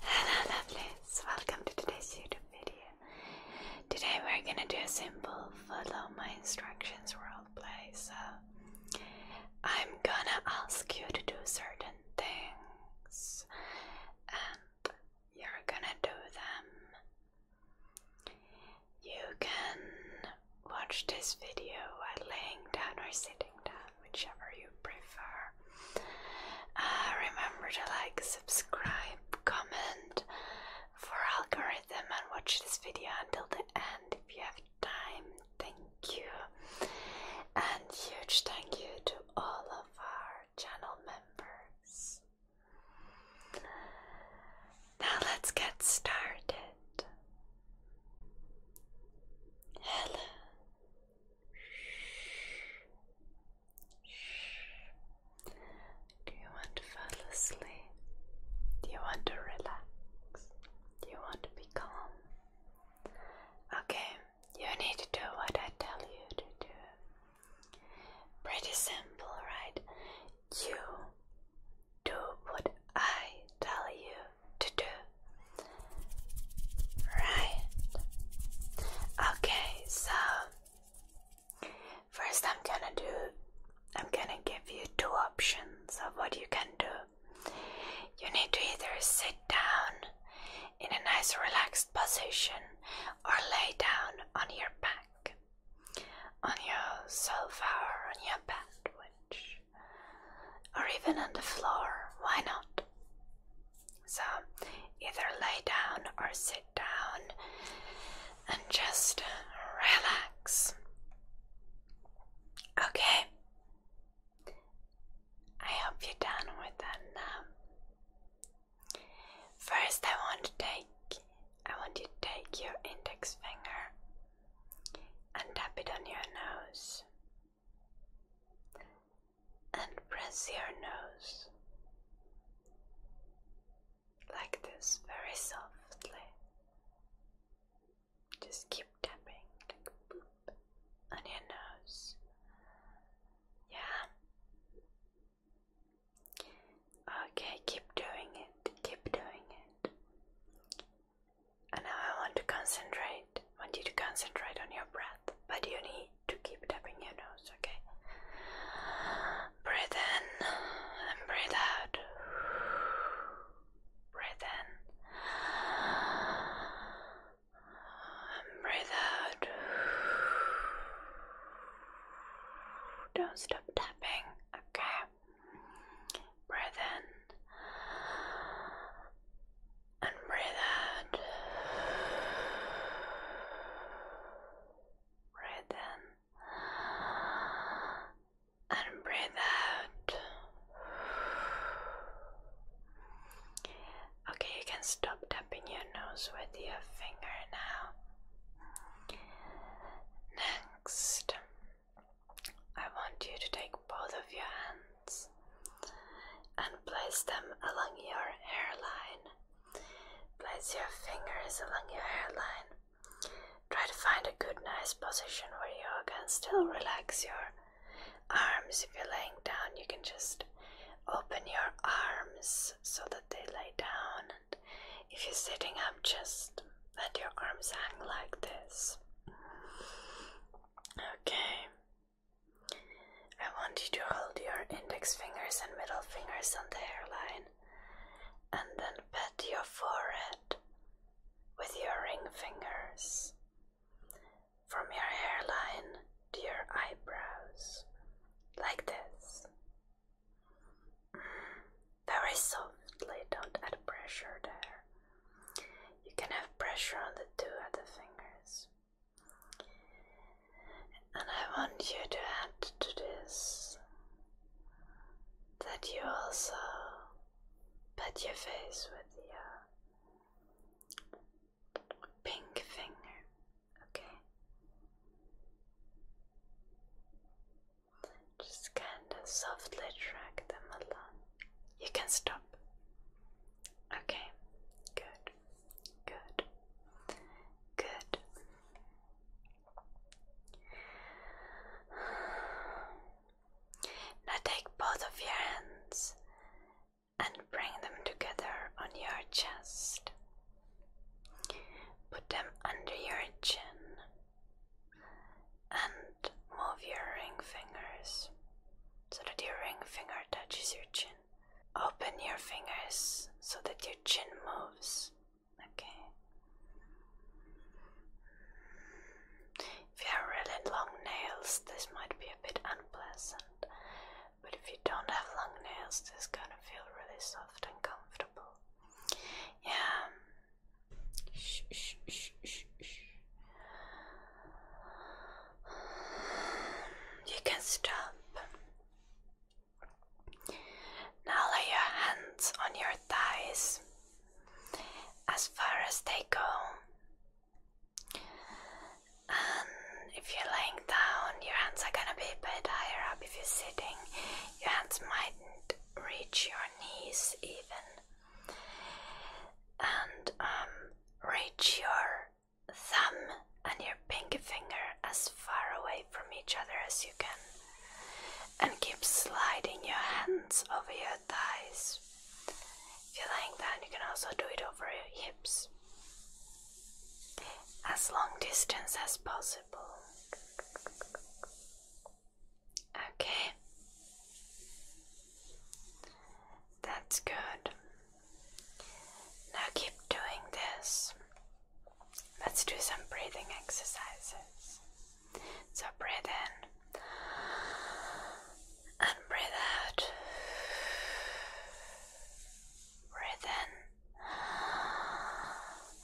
Hello lovelies, welcome to today's YouTube video. Today we're gonna do a simple follow my instructions play. So I'm gonna ask you to do certain things and you're gonna do them. You can watch this video while laying down or sitting whichever you prefer. Uh, remember to like, subscribe, comment for algorithm and watch this video until the end if you have time. Thank you. And huge thank you to all of our channel members. Now let's get started. Hello, do you want to fall asleep? Do you want to relax? Do you want to be calm? Okay, you need to do what I tell you to do. Pretty simple, right? You do what I tell you to do. Right. Okay, so first I'm gonna do I'm gonna give you two options of what you can do. You need to either sit down in a nice relaxed position or lay down on your back, on your sofa or on your bed, or even on the floor. Why not? So either lay down or sit down and just relax. Okay. I hope you're done with that now. First I want to take I want you to take your index finger and tap it on your nose and press your nose like this very softly. Just keep tapping on your nose. Yeah. Okay, keep doing it. Keep doing it. And now I want to concentrate, want you to concentrate on your breath, but you need to keep tapping your nose, okay? Breathe in and breathe out. Breathe in and breathe out. Don't stop tapping, okay? Breathe in and breathe out. Breathe in and breathe out. Okay, you can stop tapping your nose with your finger now. Next, I want you to take both of your hands and place them along your hairline. Place your fingers along your hairline. Try to find a good, nice position where you can still relax your arms. If you're laying down, you can just open your arms so that they lay down. if you're sitting up, just let your arms hang like this. Okay. I want you to hold your index fingers and middle fingers on the hairline and then pat your forehead with your ring fingers from your hairline to your eyebrows like this. very softly, don't add pressure there. You can have pressure on the two other fingers. And I want you to add to this that you also pat your face with your pink finger, okay? Just kind of softly drag them along. You can stop. Okay, good, good, good. Now take both of your hands and bring them together on your chest. Put them under your chin and move your ring fingers so that your ring finger touches your chin. Open your fingers so that your chin moves. Okay. If you have really long nails, this might be a bit unpleasant, but if you don't have long nails, this is gonna feel really soft and comfortable. Yeah, Shh, shh, shh, shh, You can stop. Now lay your hands on your thighs as far as they go. And if you're laying down, your hands are gonna be a bit higher up. If you're sitting, your hands might reach your knees even and um, reach your thumb and your pinky finger as far away from each other as you can, and keep sliding your hands over your thighs. If you like that, you can also do it over your hips as long distance as possible. Okay. That's good. Now keep doing this. Let's do some breathing exercises. So breathe in and breathe out. Breathe in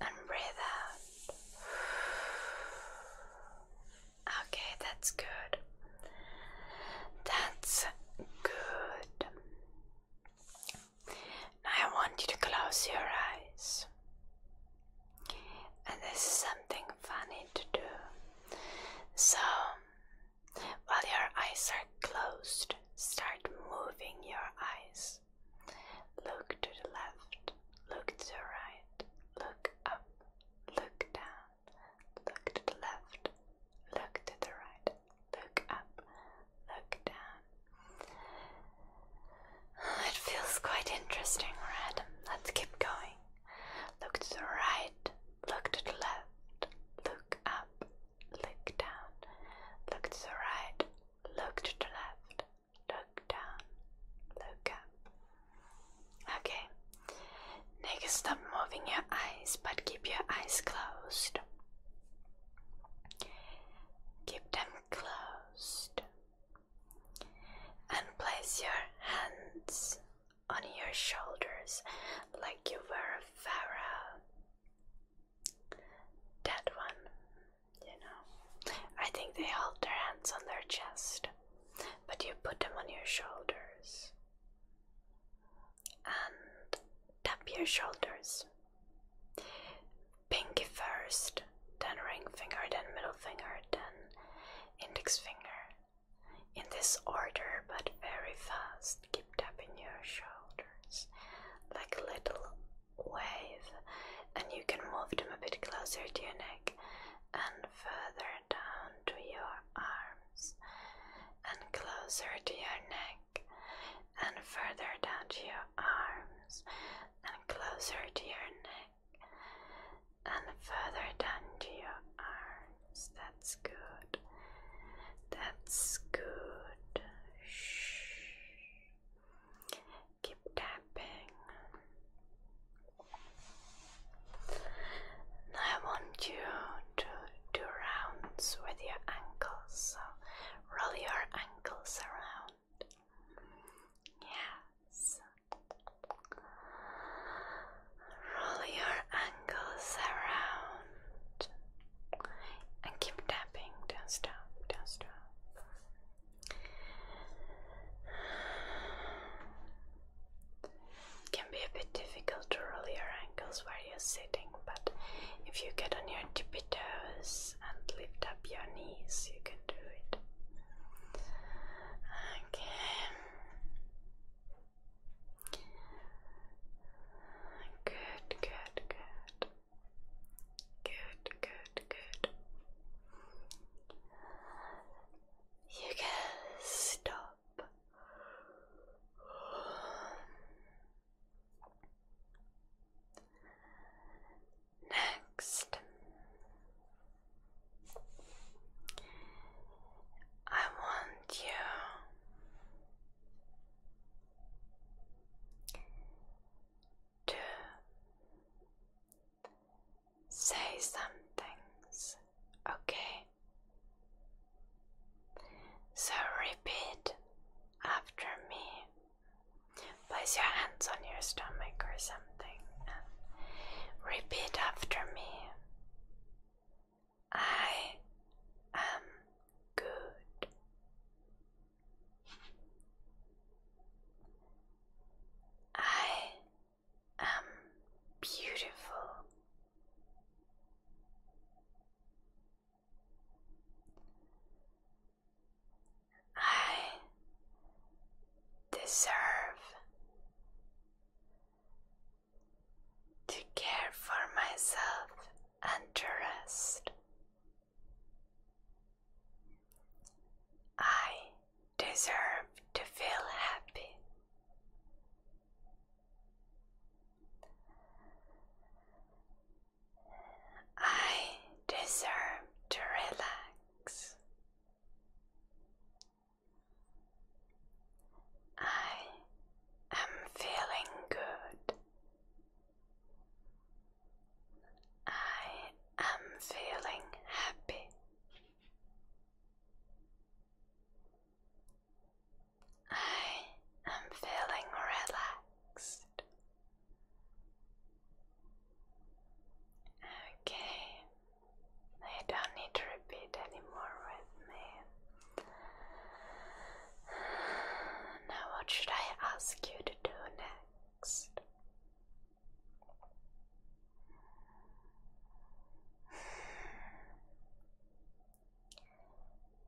and breathe out. Okay, that's good. That's good. Now I want you to close your eyes. And this is something funny to do. So while your eyes are closed, start moving your eyes. Look to the left, look to the right, look up, look down, look to the left, look to the right, look up, look down. It feels quite interesting, right? Let's keep going. Look to the right, look to the left, look up, look down, look to the right, look to the left, look down, look up. Okay, next stop moving your eyes, but keep your eyes closed. Keep them closed and place your hands on your shoulders like you were Pharaoh. That one, you know. I think they hold their hands on their chest, but you put them on your shoulders and tap your shoulders. Pinky first, then ring finger, then middle finger, then index finger, in this order but very fast, keep tapping your shoulders like a little wave, and you can move them a bit closer to your neck and further down to your arms, and closer to your neck, and further down to your arms, and closer to your neck, and further down to your arms. That's good. That's good. Shh. Keep tapping. I want you to do rounds with your ankles. So roll your ankles around. Yes roll your ankles around and keep tapping. Don't stop, can be a bit difficult to roll your ankles while you're sitting, but if you get on your tippy toes and lift up your knees, you can do it. Okay. Good, good, good. Good, good, good. You can stop. Next, I want you to say some things, okay? So repeat after me. Place your hands on your stomach or something repeat after me. I am good. I am beautiful. I deserve to care for myself and to rest. I deserve to feel happy. I deserve to relax. I am feeling good. I am feeling happy. I am feeling relaxed. Okay, you don't need to repeat any more with me. Now, what should I ask you to do next?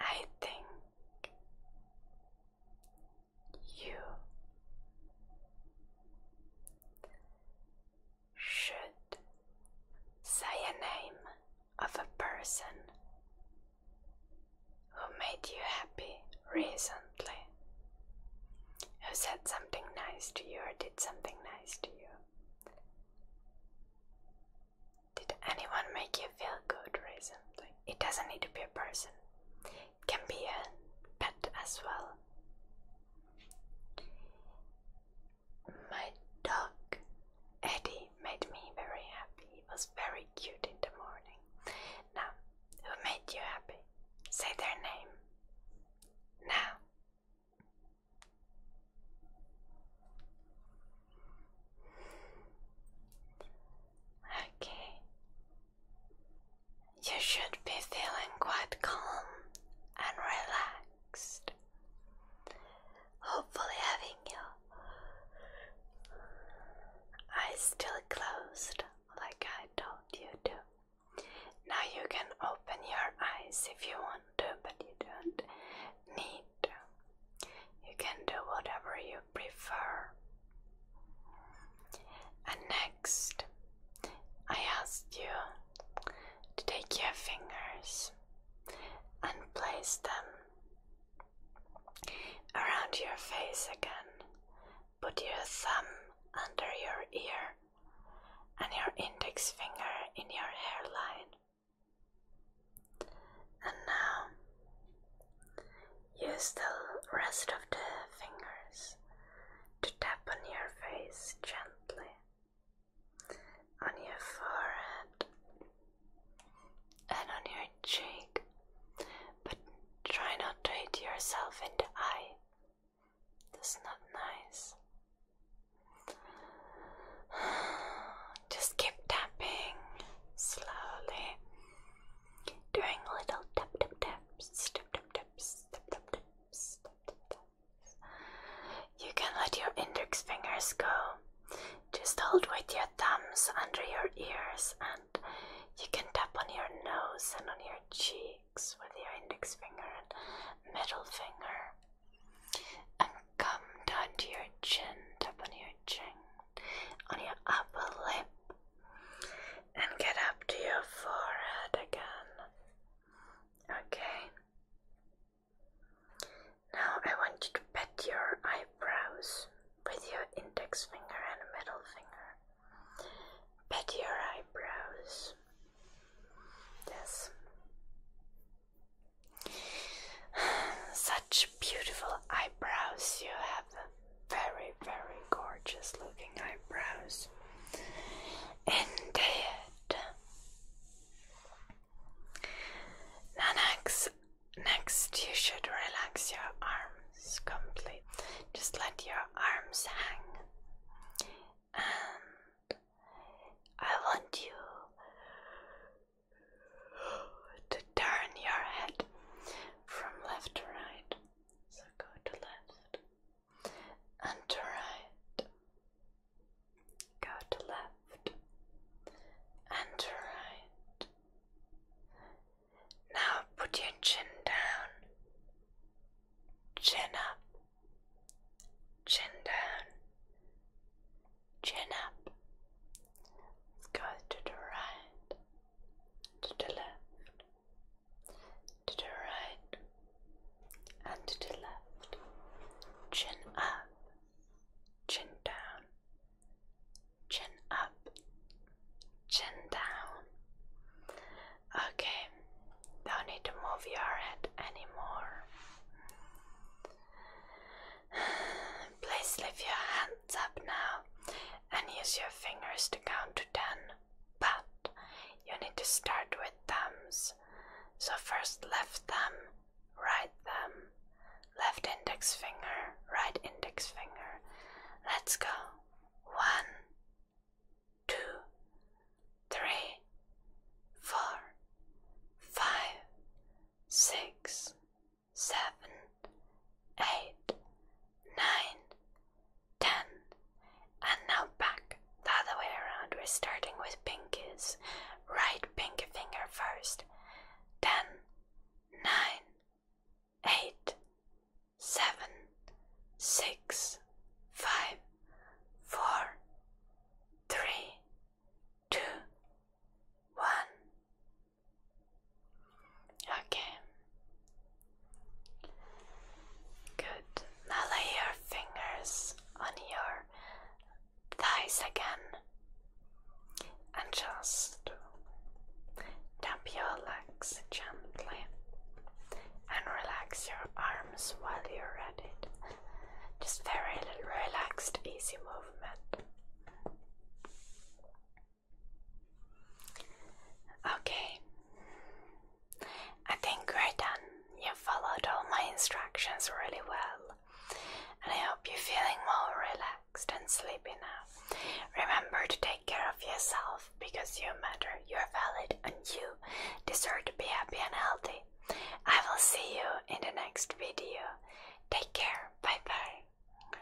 I think you should say a name of a person who made you happy recently, who said something nice to you or did something nice to you. Did anyone make you feel good recently? It doesn't need to be a person, it can be a pet as well. My dog Eddie made me very happy. He was very cute in the morning. Now, who made you happy? Say their name. Now. Okay. You should be feeling quite calm and relaxed relaxed. Hopefully, having your eyes still closed, like I told you to. Now you can open your eyes if you want to, but you don't need to. You can do whatever you prefer. And next, I asked you to take your fingers and place them around your face again. Put your thumb under your ear and your index finger in your hairline. And now use the rest of the fingers to tap on your face gently on your forehead and on your cheek, but try not to hit yourself in the eye. That's not nice. Just keep tapping slowly, doing little tap tap taps, tap tap taps, tap tap taps, tap tap taps. You can let your index fingers go. Just hold with your thumbs under your ears, and you can tap on your nose and on your cheeks with your index finger and middle finger. And come down to your chin, tap on your chin, on your upper lip, and get up to your forehead again. Okay. Now I want you to pet your eyebrows with your index finger and middle finger. Pet your eyebrows. Yes. Such beautiful eyebrows you have. Very, very gorgeous looking eyebrows. Indeed. Now next, next you should relax your arms completely. Just let your arms hang. And I want you to turn your head from left to right. So go to left, and to right. Go to left and to right. Now put your chin down, chin up, chin down, chin up. go to the right, to the left, to the right and to the left, chin up, chin down, chin up, chin down. Okay, don't need to move your head anymore. Please lift your hands up now and use your fingers to count 10, but you need to start with thumbs. So first left thumb, right thumb, left index finger, right index finger. Let's go. One, two, three, four, five, six, seven, eight, nine, ten, and now back the other way around. We're starting with pinkies. Right pinky finger first. Ten, nine, eight, seven, six, five, four, three, two, one. Okay, Good. Now lay your fingers on your thighs again and just tap your legs gently and relax your arms while you're at it. Just very little relaxed, easy movement. Okay, I think we're done. You followed all my instructions really well, and I hope you're feeling more relaxed and sleepy now. Remember to take care of yourself because you matter, you're valid, and you deserve to be happy and healthy. I will see you in the next video. Take care. Bye bye.